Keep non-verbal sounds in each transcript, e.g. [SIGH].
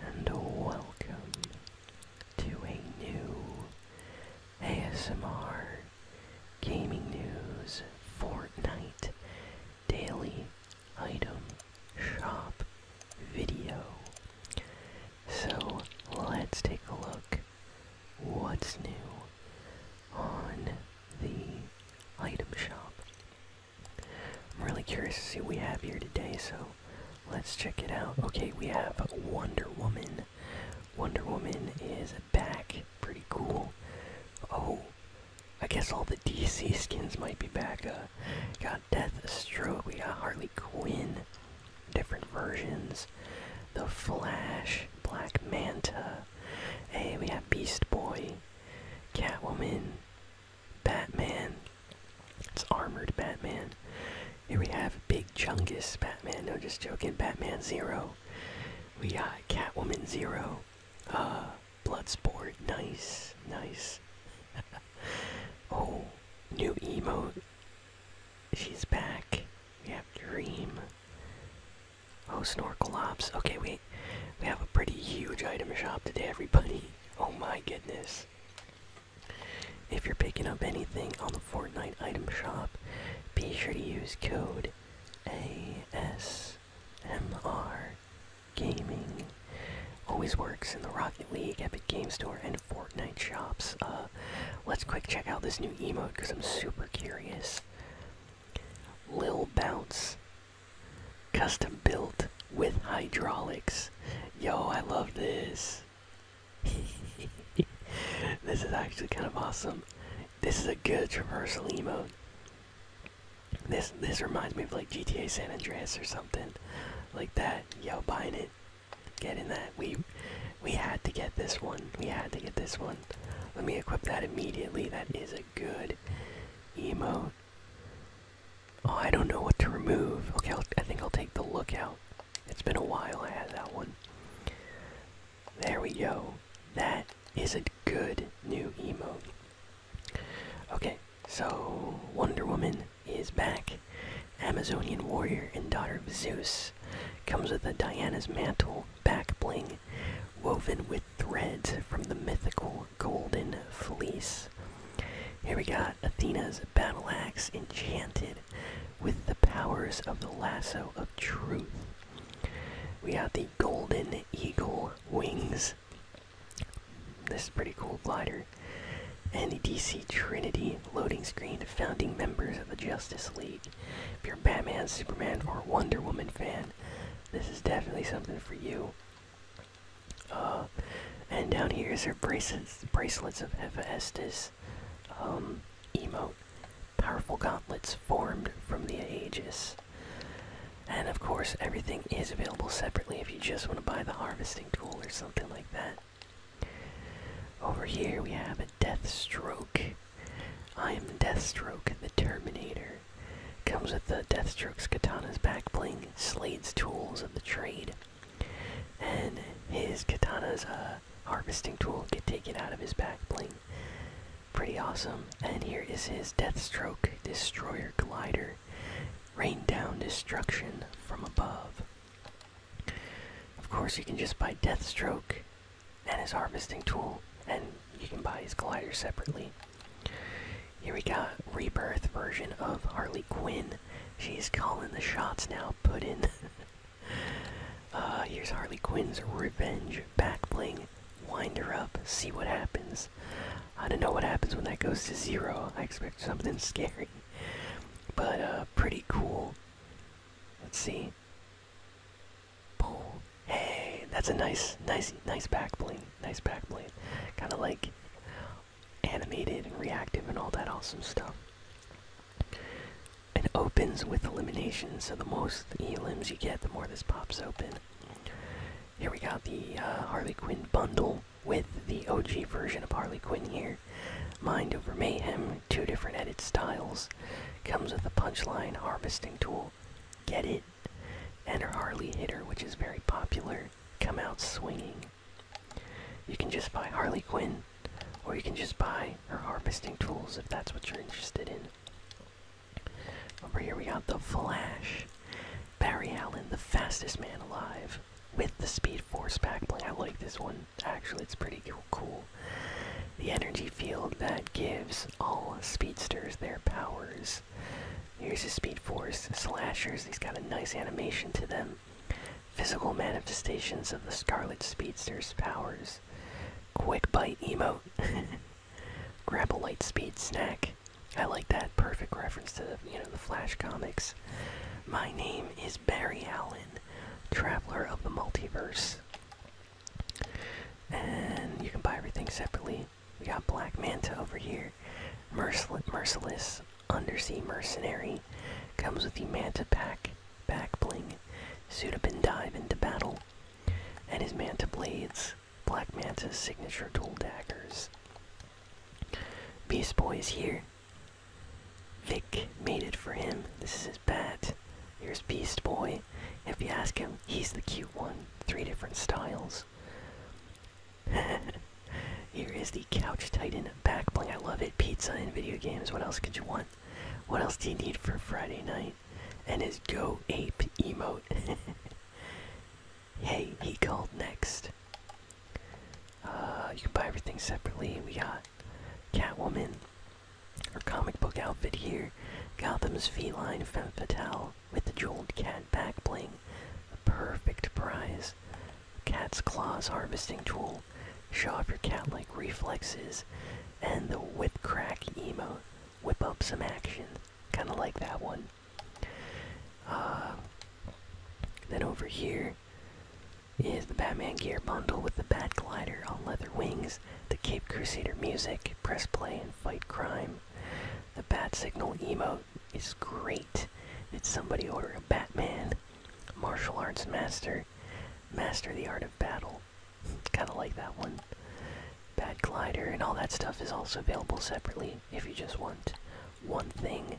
and welcome to a new ASMR Gaming News Fortnite Daily Item Shop video. So let's take a look what's new on the item shop. I'm really curious to see what we have here today, so Let's check it out. Okay, we have Wonder Woman. Wonder Woman is back. Pretty cool. Oh, I guess all the DC skins might be back. Uh, got Deathstroke, we got Harley Quinn, different versions, The Flash, Black Manta. Hey, we have Beast Boy, Catwoman, Batman. It's armored Batman. Here we have Big Chungus Batman. No, just joking. Batman Zero. We got Catwoman Zero. Uh, Bloodsport. Nice, nice. [LAUGHS] oh, new emote. She's back. We have Dream. Oh, Snorkel Ops. Okay, we we have a pretty huge item shop today, everybody. Oh my goodness. If you're picking up anything on the Fortnite item shop, be sure to use code ASMR Gaming. Always works in the Rocket League, Epic Game Store, and Fortnite shops. Uh, let's quick check out this new emote because I'm super curious. Lil Bounce. Custom built with hydraulics. Yo, I love this. [LAUGHS] this is actually kind of awesome. This is a good traversal emote. This this reminds me of like GTA San Andreas or something like that. Yo, buying it, Get in that. We we had to get this one. We had to get this one. Let me equip that immediately. That is a good emote. Oh, I don't know what to remove. Okay, i think I'll take the lookout. It's been a while I had that one. There we go. That is a good new emote. Okay, so Wonder Woman is back. Amazonian warrior and daughter of Zeus. Comes with a Diana's mantle back bling woven with threads from the mythical Golden Fleece. Here we got Athena's Battle Axe enchanted with the powers of the Lasso of Truth. We have the Golden Eagle Wings. This is pretty cool glider. And the DC Trinity loading screen, founding members of the Justice League. If you're a Batman, Superman, or Wonder Woman fan, this is definitely something for you. Uh, and down here is their braces, bracelets of Hephaestus, um, emote, powerful gauntlets formed from the Aegis. And of course, everything is available separately if you just want to buy the harvesting tool or something like that. Over here we have a Deathstroke. I am Deathstroke, the Terminator. Comes with the Deathstroke's katana's back bling, Slade's tools of the trade, and his katana's uh, harvesting tool get taken out of his back bling. Pretty awesome. And here is his Deathstroke Destroyer Glider. Rain down destruction from above. Of course, you can just buy Deathstroke and his harvesting tool, and you can buy his glider separately. Here we got rebirth version of Harley Quinn. She's calling the shots now. Put [LAUGHS] uh, here's Harley Quinn's revenge backbling. bling. Wind her up. See what happens. I don't know what happens when that goes to zero. I expect something [LAUGHS] scary, but uh, pretty cool. Let's see. Pull. Hey, that's a nice, nice, nice backbling nice back blade. Kind of like animated and reactive and all that awesome stuff. It opens with elimination, so the more elims you get, the more this pops open. Here we got the uh, Harley Quinn bundle with the OG version of Harley Quinn here. Mind over Mayhem, two different edit styles. Comes with a punchline harvesting tool Get it? And her Harley Hitter, which is very popular, come out swinging. You can just buy Harley Quinn, or you can just buy her harvesting tools if that's what you're interested in. Over here we got the Flash. Barry Allen, the fastest man alive, with the Speed Force backbling. I like this one. Actually, it's pretty cool. The energy field that gives all speedsters their powers. Here's his Speed Force slashers. He's got a nice animation to them. Physical manifestations of the Scarlet Speedster's powers. Quick Bite emote. [LAUGHS] Grab a light speed snack. I like that perfect reference to the you know the Flash comics. My name is Barry Allen, Traveler of the Multiverse. And you can buy everything separately. We got Black Manta over here. Mercil merciless undersea mercenary. Comes with the Manta pack, back bling. Suit up and dive into battle. And his Manta blades. Black Manta's signature dual daggers. Beast Boy is here. Vic made it for him. This is his bat. Here's Beast Boy. If you ask him, he's the cute one. Three different styles. [LAUGHS] Here is the Couch Titan back bling. I love it. Pizza and video games. What else could you want? What else do you need for Friday night? And his Go Ape emo. [LAUGHS] hey, he called next. Uh, you can buy everything separately. We got Catwoman, her comic book outfit here, Gotham's Feline Femme Fatale, with the jeweled cat back bling, a perfect prize. Cat's claws harvesting tool. Show off your cat-like reflexes, and the whip crack emo. Whip up some action, kind of like that one. Uh, then over here is the Batman gear bundle with the Bat Glider on leather wings, the Cape Crusader music, press play and fight crime. The Bat Signal emote is great. Did somebody order a Batman? Martial Arts Master. Master the Art of Battle. [LAUGHS] Kinda like that one. Bat Glider and all that stuff is also available separately if you just want one thing.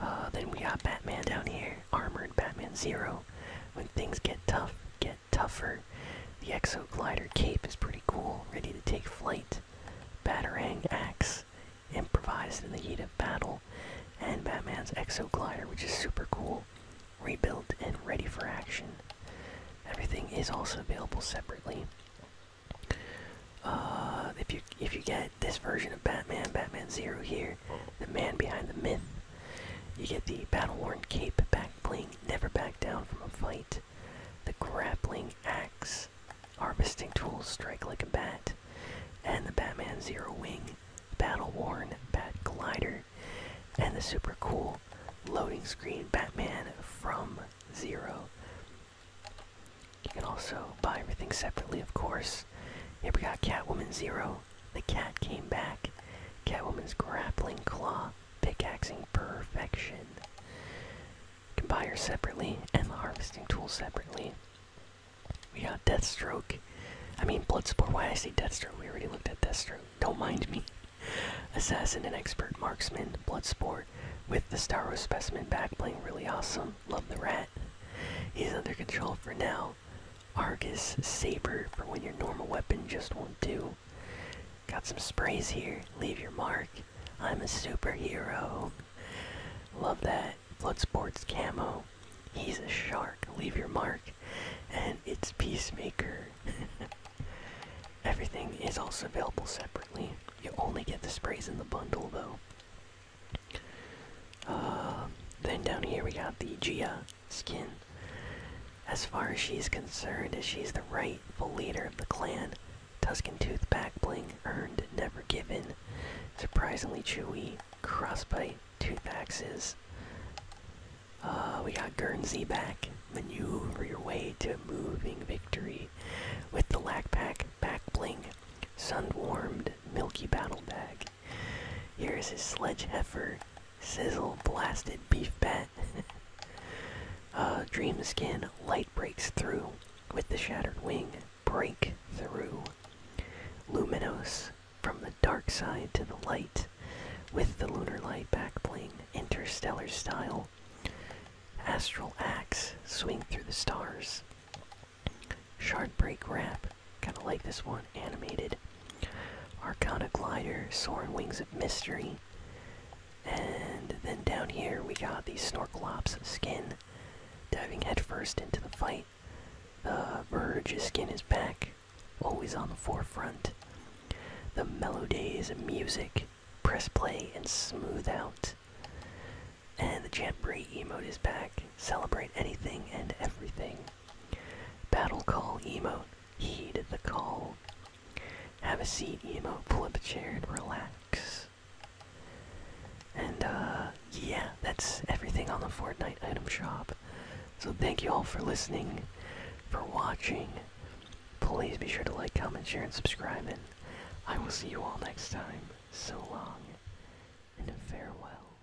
Uh, then we got Batman down here. Armored Batman Zero. When things get tough, tougher. The Exoglider cape is pretty cool, ready to take flight. Batarang axe, improvised in the heat of battle. And Batman's Exoglider, which is super cool, rebuilt and ready for action. Everything is also available separately. Uh, if you if you get this version of Batman, Batman Zero here, the man behind the myth, you get the battle worn cape back bling Never back down from a fight. The grappling axe. Harvesting tools strike like a bat. And the Batman Zero Wing. Battle worn Bat Glider. And the super cool loading screen Batman from Zero. You can also buy everything separately, of course. Here we got Catwoman Zero. The cat came back. Catwoman's grappling claw pickaxing perfection. You can buy her separately and the harvesting tool separately. We got Deathstroke. I mean, Bloodsport. Why I say Deathstroke? We already looked at Deathstroke. Don't mind me. [LAUGHS] Assassin and expert marksman, Bloodsport, with the Starro specimen back playing really awesome. Love the rat. He's under control for now. Argus Saber for when your normal weapon just won't do. Got some sprays here. Leave your mark. I'm a superhero. Love that. sports camo. He's a shark. Leave your mark. And it's Peacemaker. [LAUGHS] Everything is also available separately. You only get the sprays in the bundle though. Uh, then down here we got the Gia skin. As far as she's concerned, as she's the rightful leader of the clan, Tuscan Tooth Bling earned Never Given, surprisingly chewy, crossbite, tooth axes. Uh, we got Guernsey back. Maneuver your way to a moving victory with the Lack Pack Back Bling, sun warmed, milky battle bag. Here's his sledge heifer, Sizzle Blasted Beef Bat. [LAUGHS] uh, Dream Skin Light Breaks Through with the Shattered Wing. Break Through. Luminous From the Dark Side to the Light with the Lunar Light Backbling. Interstellar Style. Astral Axe. Swing Through the Stars. Sharp Break Wrap. Kinda like this one. Animated. Arcana Glider, Soaring Wings of Mystery. And then down here we got the Snorkelops skin. Diving headfirst into the fight. The Verge skin is back, always on the forefront. The Melodies music, press play and smooth out. And the Jamboree emote is back. Celebrate anything and everything. Battle Call emote, heed the call. Have a seat, Emo. Pull up a chair and relax. And, uh, yeah, that's everything on the Fortnite item shop. So thank you all for listening, for watching. Please be sure to like, comment, share, and subscribe, and I will see you all next time. So long, and farewell.